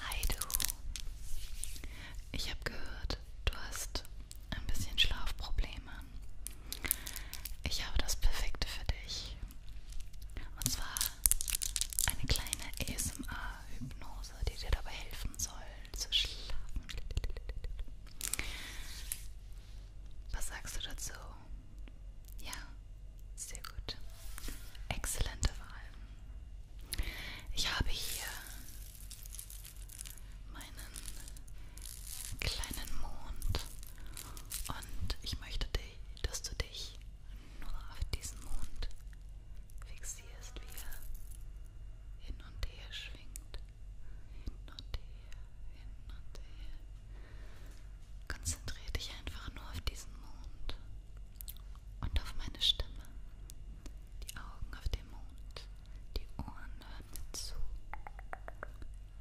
Hi du. Ich habe gehört, du hast ein bisschen Schlafprobleme. Ich habe das Perfekte für dich. Und zwar eine kleine ASMR-Hypnose, die dir dabei helfen soll zu schlafen. Was sagst du dazu? Ja, sehr gut. Exzellente Wahl. Ich habe hier meinen kleinen Mond und ich möchte, dass du dich nur auf diesen Mond fixierst, wie er hin und her schwingt. Hin und her, hin und her. Konzentriere dich einfach nur auf diesen Mond und auf meine Stimme. Die Augen auf den Mond, die Ohren hören mir zu.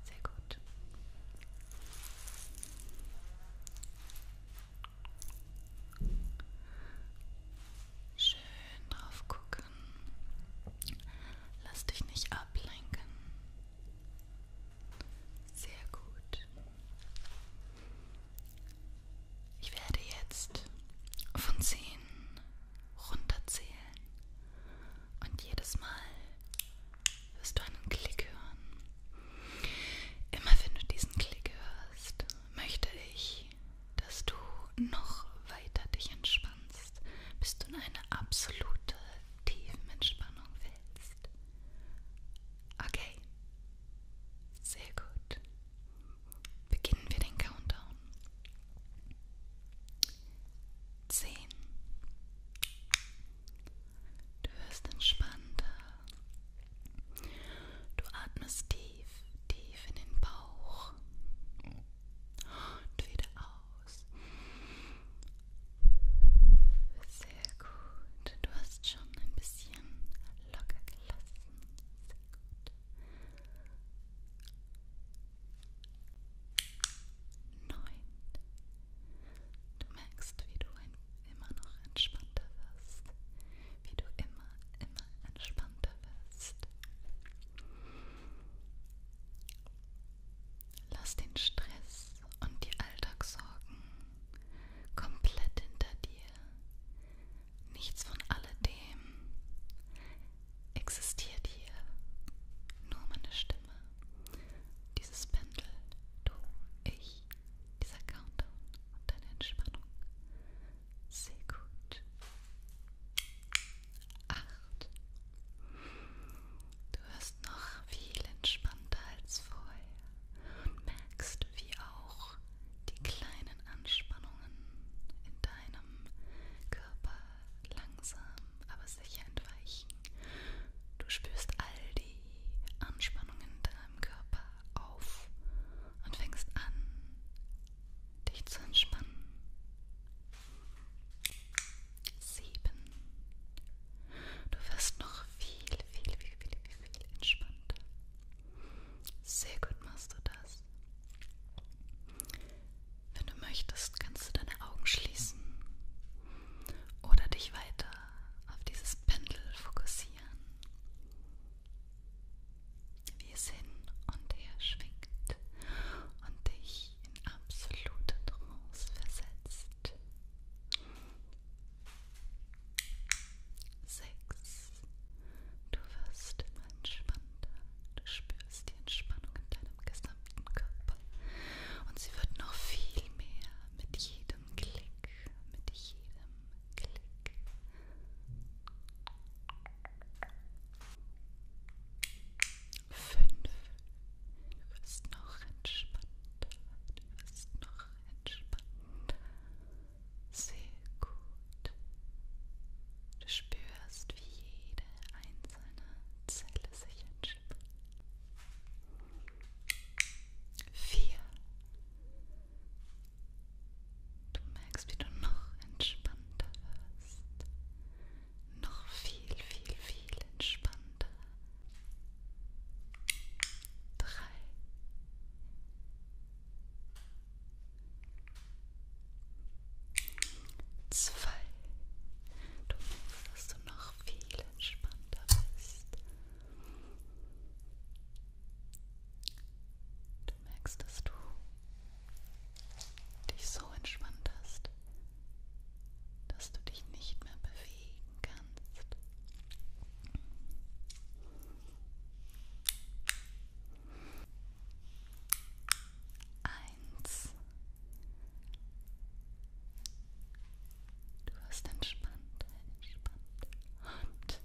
Sehr gut. Schön drauf gucken. Lass dich nicht ablenken. Sehr gut. Ich werde jetzt von 10 runterzählen und jedes Mal wirst du einen Klick hören. Immer wenn du diesen Klick hörst, möchte ich, dass du noch weiter dich entspannst, bis du in eine absolute Tiefenentspannung fällst. Okay, sehr gut. Beginnen wir den Countdown. Zehn. Du wirst entspannter. Du atmest tief, tief in den Bauch und wieder aus. Sehr sehr gut. Du hast schon ein bisschen locker gelassen. Sehr gut. Neun. Du merkst, wie du ein, immer noch entspannter wirst. Wie du immer, immer entspannter wirst. Lass den Stress und die Alltagssorgen komplett hinter dir. Nichts von alledem existiert hier. Nur meine Stimme, dieses Pendel, du, ich, dieser Countdown und deine Entspannung. Sehr gut. Acht. Du wirst noch viel entspannter als vorher und merkst, wie auch die kleinen Anspannungen in deinem Körper langsam, aber sicher entweichen. Du spürst all die Anspannungen in deinem Körper auf und fängst an, dich zu entspannen. Sieben. Du wirst noch viel viel, viel, viel, viel, viel entspannter. Sehr gut machst du das. Wenn du möchtest, kannst du deine Augen schließen oder dich weiter auf dieses Pendel fokussieren, wie es hin und her schwingt und dich in absolute Trance versetzt. 6. Du wirst immer entspannter. Du spürst die Entspannung in deinem gesamten Körper. Und sie wird noch viel mehr mit jedem Klick. Mit jedem Klick. Fünf. Du wirst noch entspannter. Du wirst noch noch entspannter. Sehr gut. Du spürst, wie jede einzelne Zelle sich entspannt. Vier. Du merkst, wie du noch entspannter wirst. Noch viel, viel, viel entspannter drei, zwei. Du merkst, dass du noch viel entspannter bist. Du merkst, dass du dich so entspannt hast, dass du dich nicht mehr bewegen kannst. Eins. Du wirst entspannt, entspannt. Und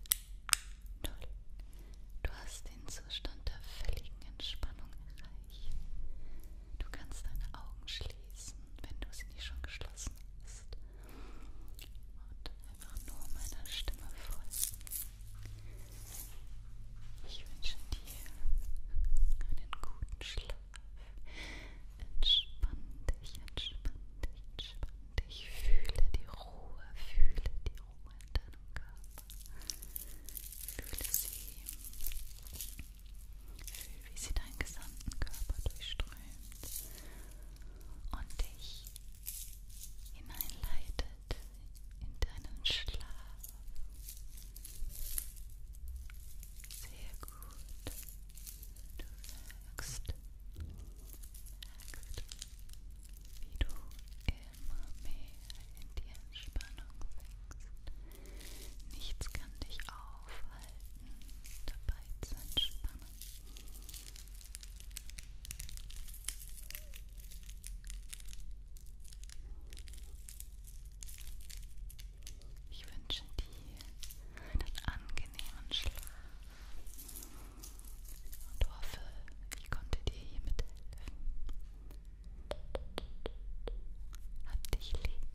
null. Du hast den Zustand der völligen Entspannung erreicht. Du kannst deine Augen schließen, wenn du sie nicht schon geschlossen hast und einfach nur meiner Stimme folgen. Ich wünsche dir einen guten Schlaf. Entspann dich, entspann dich, entspann dich. Fühle die Ruhe, fühle die Ruhe in deinem Körper. Fühle sie. Fühl, wie sie deinen gesamten Körper durchströmt und dich hineinleitet in deinen Schlaf. Sehr gut. Du merkst, merkst wie du immer mehr in die Entspannung wächst. Nichts kann dich aufhalten, dabei zu entspannen. Ich wünsche dir einen angenehmen Schlaf und hoffe, ich konnte dir hiermit helfen. Hab dich lieb.